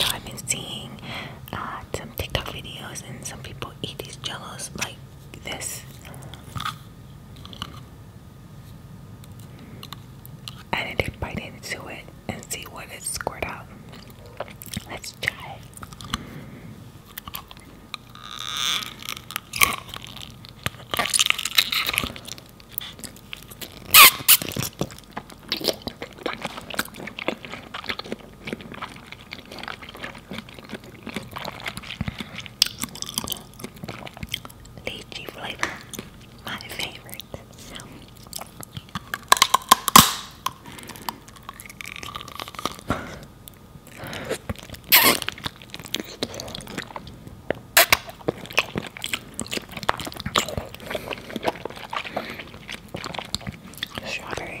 I've been seeing uh, some TikTok videos and some people eat these jellos like this. And need to bite into it and see what it squirt out. Let's try it. Lychee flavor, my favorite. Strawberry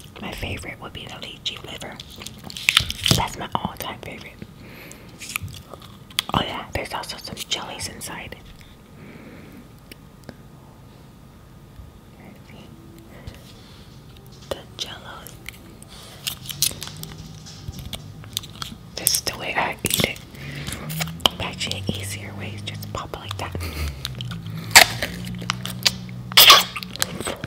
My favorite would be the lychee flavor. That's my all-time favorite. Oh yeah, there's also some jellies inside. The jellies. This is the way I eat it. Actually, easier ways just pop it like that.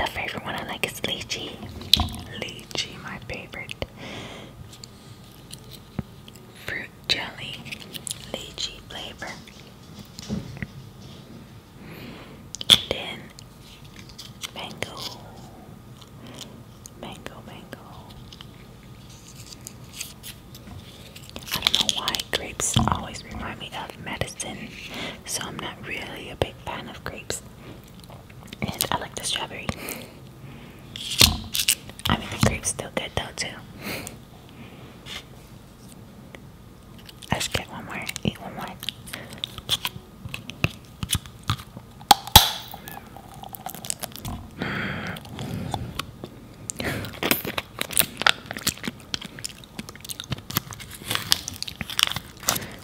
The favorite one I like is lychee. Lychee, my favorite fruit jelly, lychee flavor. Then mango, mango, mango. I don't know why grapes always remind me of medicine, so I'm not really a big fan of grapes. And I like the strawberry. I mean, the grape's still good though, too. Let's get one more, eat one more.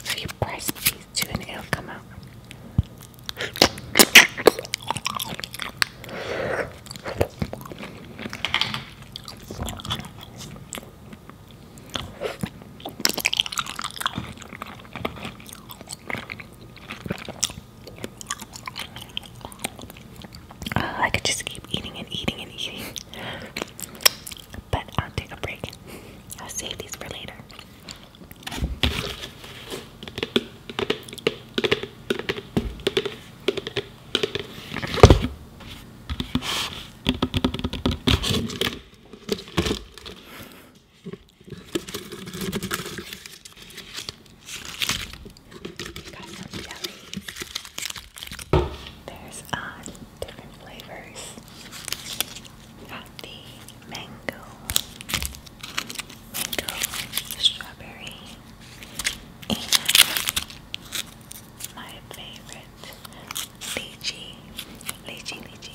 so you press these two and it'll come out. I could just keep eating and eating and eating, but I'll take a break. I'll save these for later. Got some jellies. There's uh, different flavors. Got the mango, mango, strawberry, and my favorite lychee, lychee, lychee.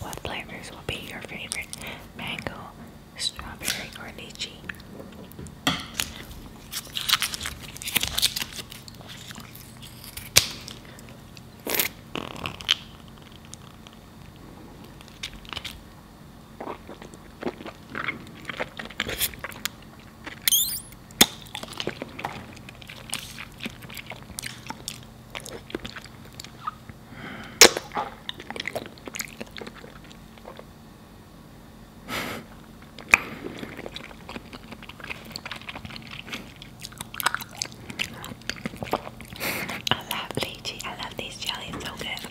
What flavors will be your favorite? Mango, strawberry, or lychee? I love lychee. I love these jellies so good.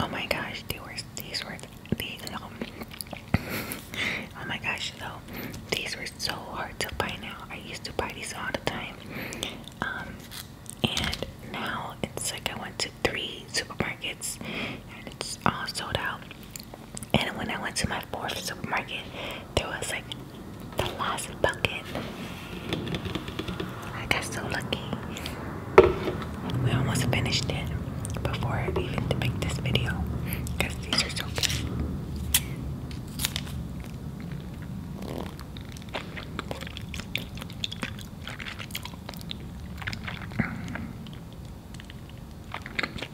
Oh my gosh, these were these were these um, Oh my gosh, though these were so hard to buy now. I used to buy these all the time, um, and now it's like I went to three supermarkets and it's all sold out. And when I went to my fourth supermarket, there was like the last bucket. I got so lucky. We almost finished it before I even to make this video because these are so good.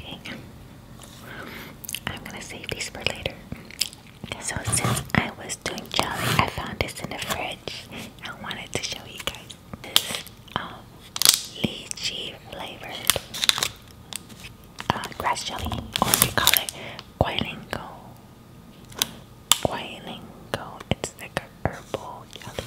Okay. I'm gonna save these for later. So since I was doing jelly, I found this in the fridge. I wanted to show you guys this um, lychee flavored uh, grass jelly, or they call it Guilingo. Guilingo. It's like a herbal jelly.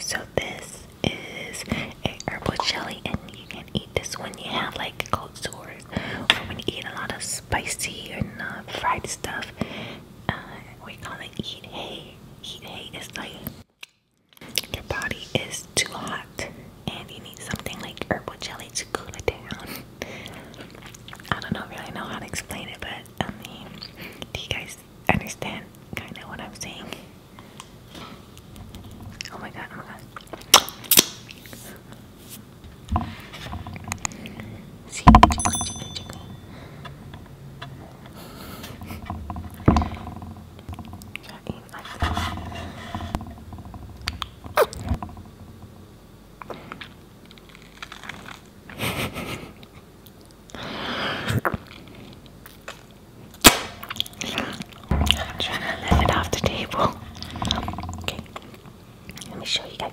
So this is a herbal jelly and you can eat this when you have like cold sores or when you eat a lot of spicy and uh, fried stuff. Uh, We're gonna eat hay. Eat hay is like your body is too hot and you need something like herbal jelly to cool it down. I don't know really know how to explain it, but I mean, do you guys understand kind of what I'm saying? Oh my god, oh my god. See, chicken, chicken, chicken. Try trying to lift it off the table. Okay, let me show you guys.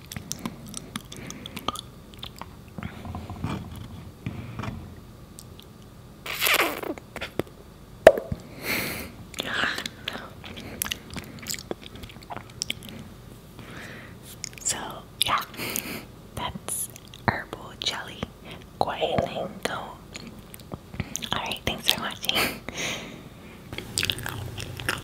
So, yeah, that's herbal jelly Guaylingo. Alright, thanks for watching.